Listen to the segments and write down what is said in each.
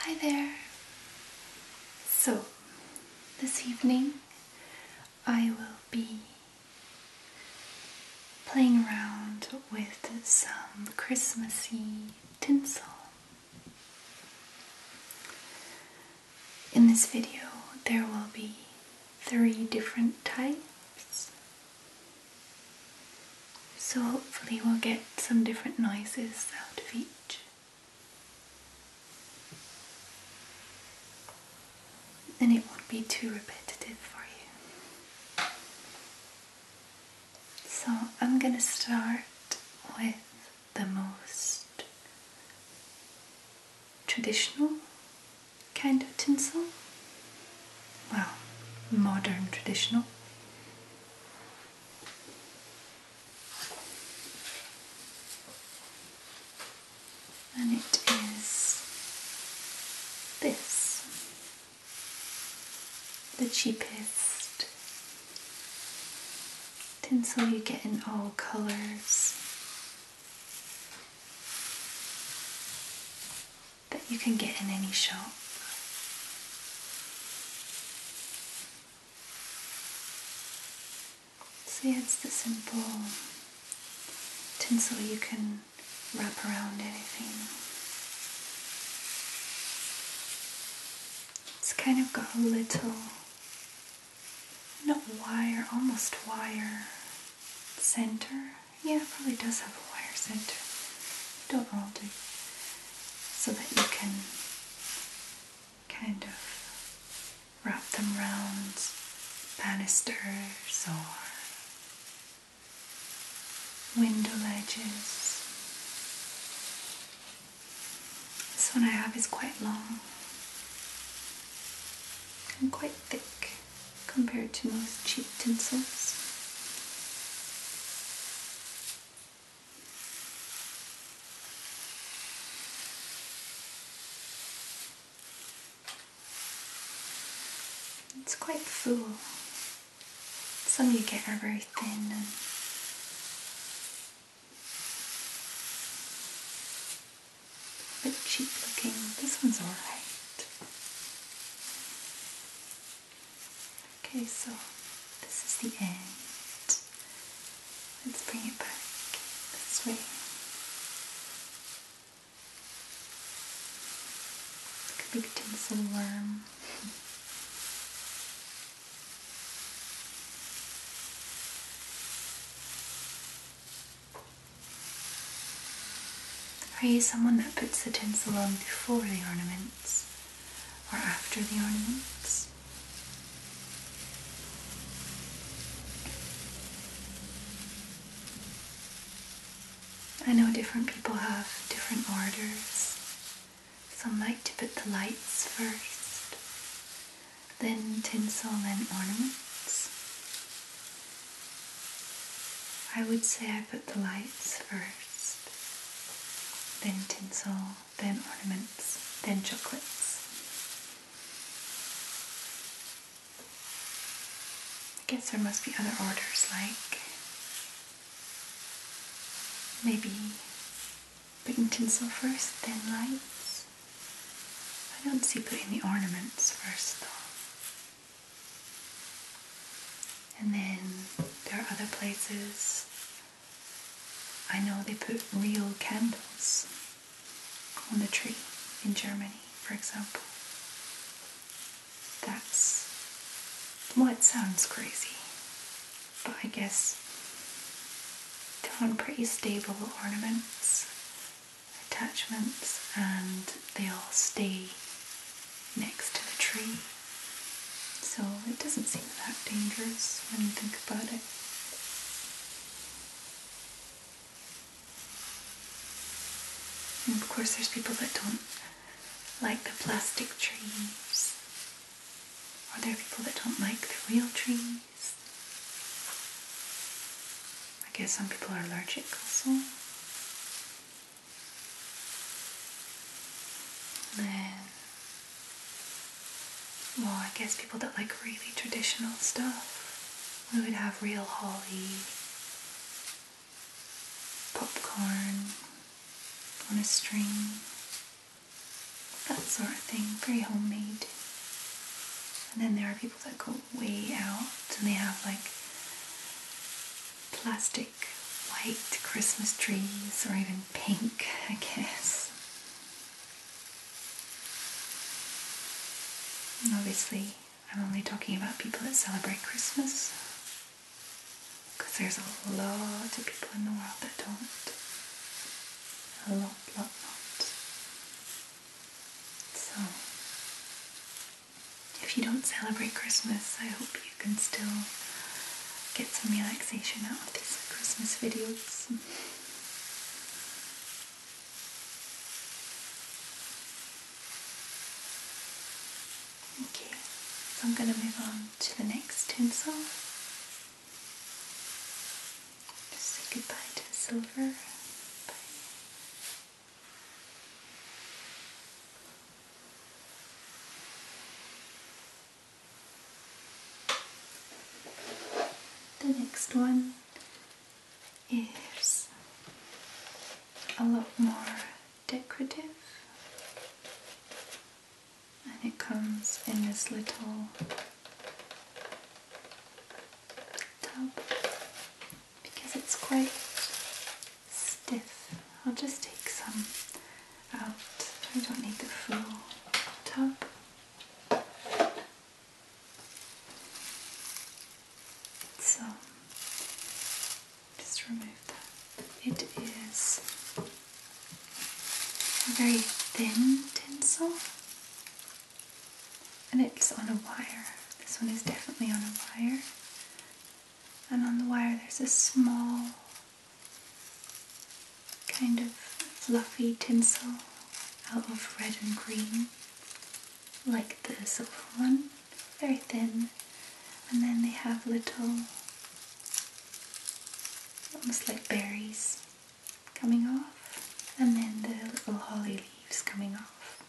Hi there. So, this evening I will be playing around with some Christmassy tinsel. In this video, there will be three different types so hopefully we'll get some different noises out of each. And it won't be too repetitive for you. So I'm going to start with the most traditional kind of tinsel. Well, modern traditional and it is this the cheapest tinsel you get in all colors that you can get in any shop. See, it's the simple tinsel you can wrap around anything. It's kind of got a little, not wire, almost wire center. Yeah, it probably does have a wire center. Don't roll do. So that you can kind of wrap them around banisters or window ledges. This one I have is quite long and quite thick compared to most cheap tinsels. It's quite full. Some you get are very thin and a bit cheap looking. This one's alright. Okay, so this is the end. Let's bring it back this way. Like a big tinsel worm. Are you someone that puts the tinsel on before the ornaments or after the ornaments? I know different people have different orders. Some like to put the lights first, then tinsel, then ornaments. I would say I put the lights first, then tinsel, then ornaments, then chocolates. I guess there must be other orders like maybe putting tinsel first, then lights. I don't see putting the ornaments first though. And then there are other places I know they put real candles on the tree in Germany, for example. That's what sounds crazy, but I guess they're on pretty stable ornaments attachments and they all stay next to the tree. So it doesn't seem that dangerous when you think about it. of course there's people that don't like the plastic trees. Or there are people that don't like the real trees. I guess some people are allergic also. then, well, I guess people that like really traditional stuff, we would have real holly, popcorn on a string, that sort of thing, very homemade. And then there are people that go way out and they have like plastic white Christmas trees or even pink, I guess. obviously, I'm only talking about people that celebrate Christmas because there's a lot of people in the world that don't. A lot, lot, lot. So, if you don't celebrate Christmas, I hope you can still get some relaxation out of these Christmas videos. Okay, so I'm going to move on to the next tinsel. Say goodbye to silver. The next one is a lot more decorative and it comes in this little tub because it's quite stiff. I'll just take some out. I don't need the full tub. So just remove that. It is a very thin tinsel and it's on a wire. This one is definitely on a wire. And on the wire there's a small kind of fluffy tinsel out of red and green, like the silver one, very thin. And then they have little, almost like berries coming off and then the little holly leaves coming off.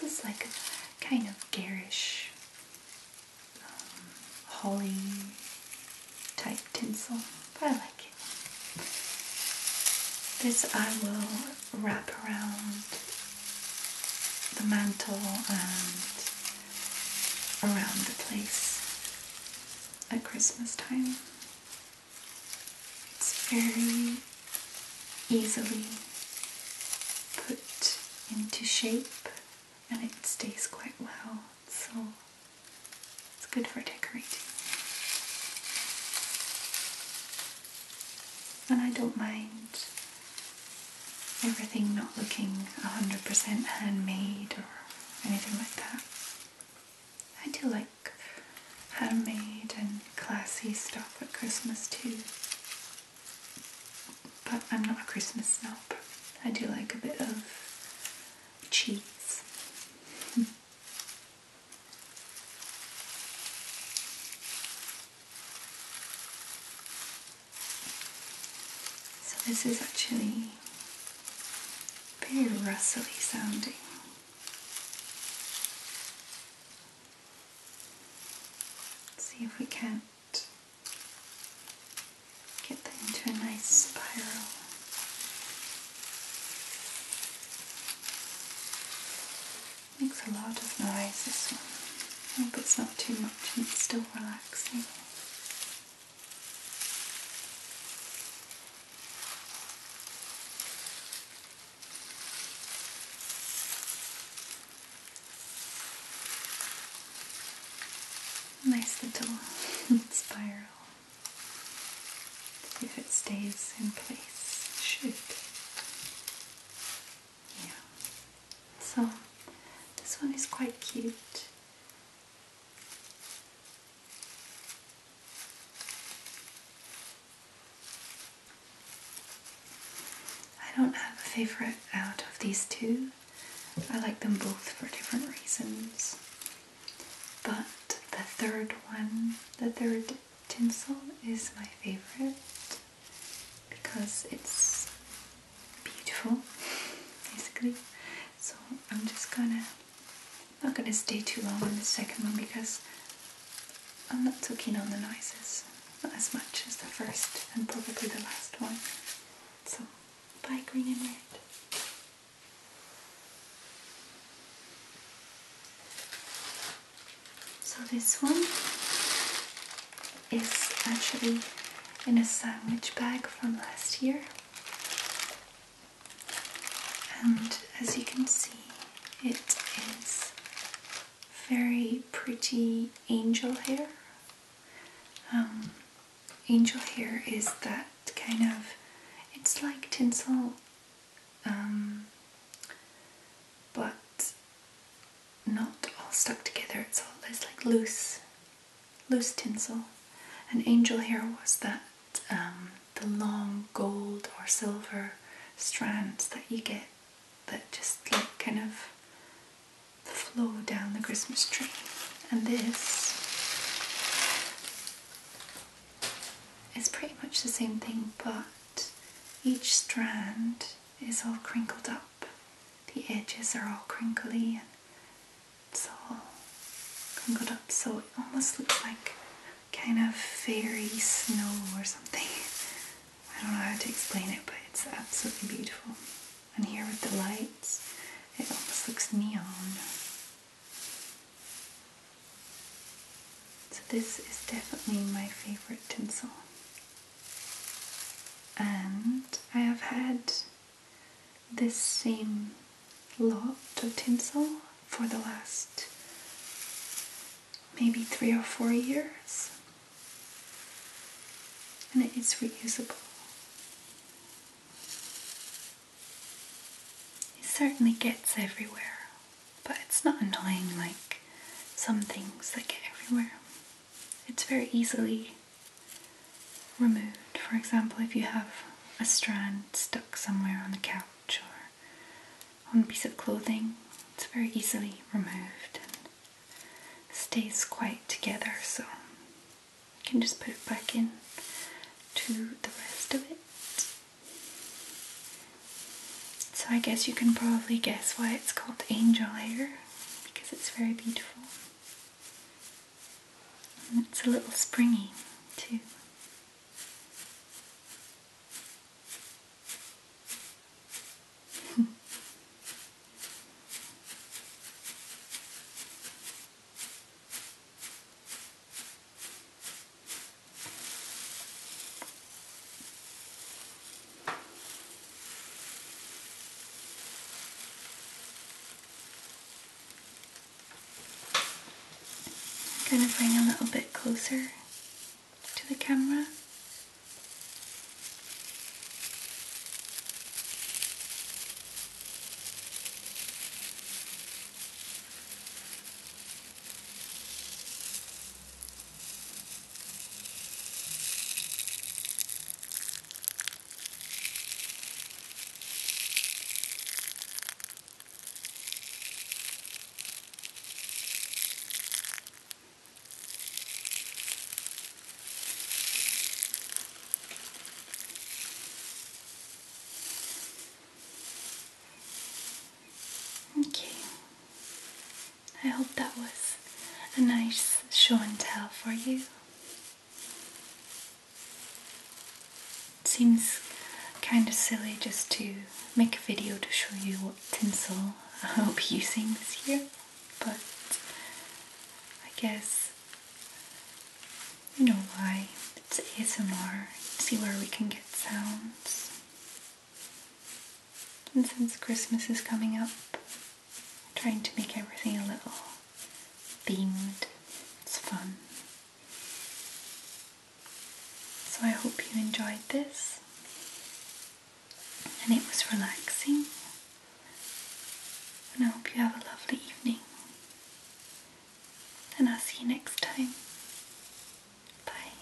This is like a kind of garish um, holly type tinsel, but I like it. This I will wrap around the mantle and around the place at Christmas time. It's very easily put into shape and it stays quite well, so it's good for decorating. And I don't mind everything not looking 100% handmade or anything like that. I do like handmade and classy stuff at Christmas too. But I'm not a Christmas snob. I do like a bit of cheese. so this is actually very rustly sounding. Let's see if we can't get that into a nice spiral. Makes a lot of noise this one. I hope it's not too much and it's still relaxing. Nice little spiral. If it stays in place, it should. Yeah. So this one is quite cute. I don't have a favorite out of these two. I like them both for different reasons. But the third one, the third tinsel, is my favorite because it's beautiful, basically. So I'm just gonna I'm not going to stay too long on the second one because I'm not so keen on the noises. Not as much as the first and probably the last one. So, bye green and red. So this one is actually in a sandwich bag from last year. And as you can see, it is very pretty angel hair. Um, angel hair is that kind of, it's like tinsel, um, but not all stuck together, it's all, it's like loose loose tinsel. An angel hair was that um, the long gold or silver strands that you get that just like kind of flow down the Christmas tree. And this is pretty much the same thing, but each strand is all crinkled up. The edges are all crinkly and it's all congled up so it almost looks like kind of fairy snow or something. I don't know how to explain it, but it's absolutely beautiful. And here with the lights, it almost looks neon. So this is definitely my favorite tinsel. And I have had this same lot of tinsel for the last maybe three or four years, and it is reusable. It certainly gets everywhere, but it's not annoying like some things that get everywhere. It's very easily removed. For example, if you have a strand stuck somewhere on the couch or on a piece of clothing, it's very easily removed and stays quite together. So you can just put it back in to the rest of it. So I guess you can probably guess why it's called angel hair because it's very beautiful. And it's a little springy too. I'm going to bring a little bit closer to the camera. Okay, I hope that was a nice show and tell for you. It seems kind of silly just to make a video to show you what tinsel I'll be using this year, but I guess you know why. It's ASMR. See where we can get sounds. And since Christmas is coming up, trying to make everything a little themed. It's fun. So I hope you enjoyed this and it was relaxing. And I hope you have a lovely evening. And I'll see you next time. Bye.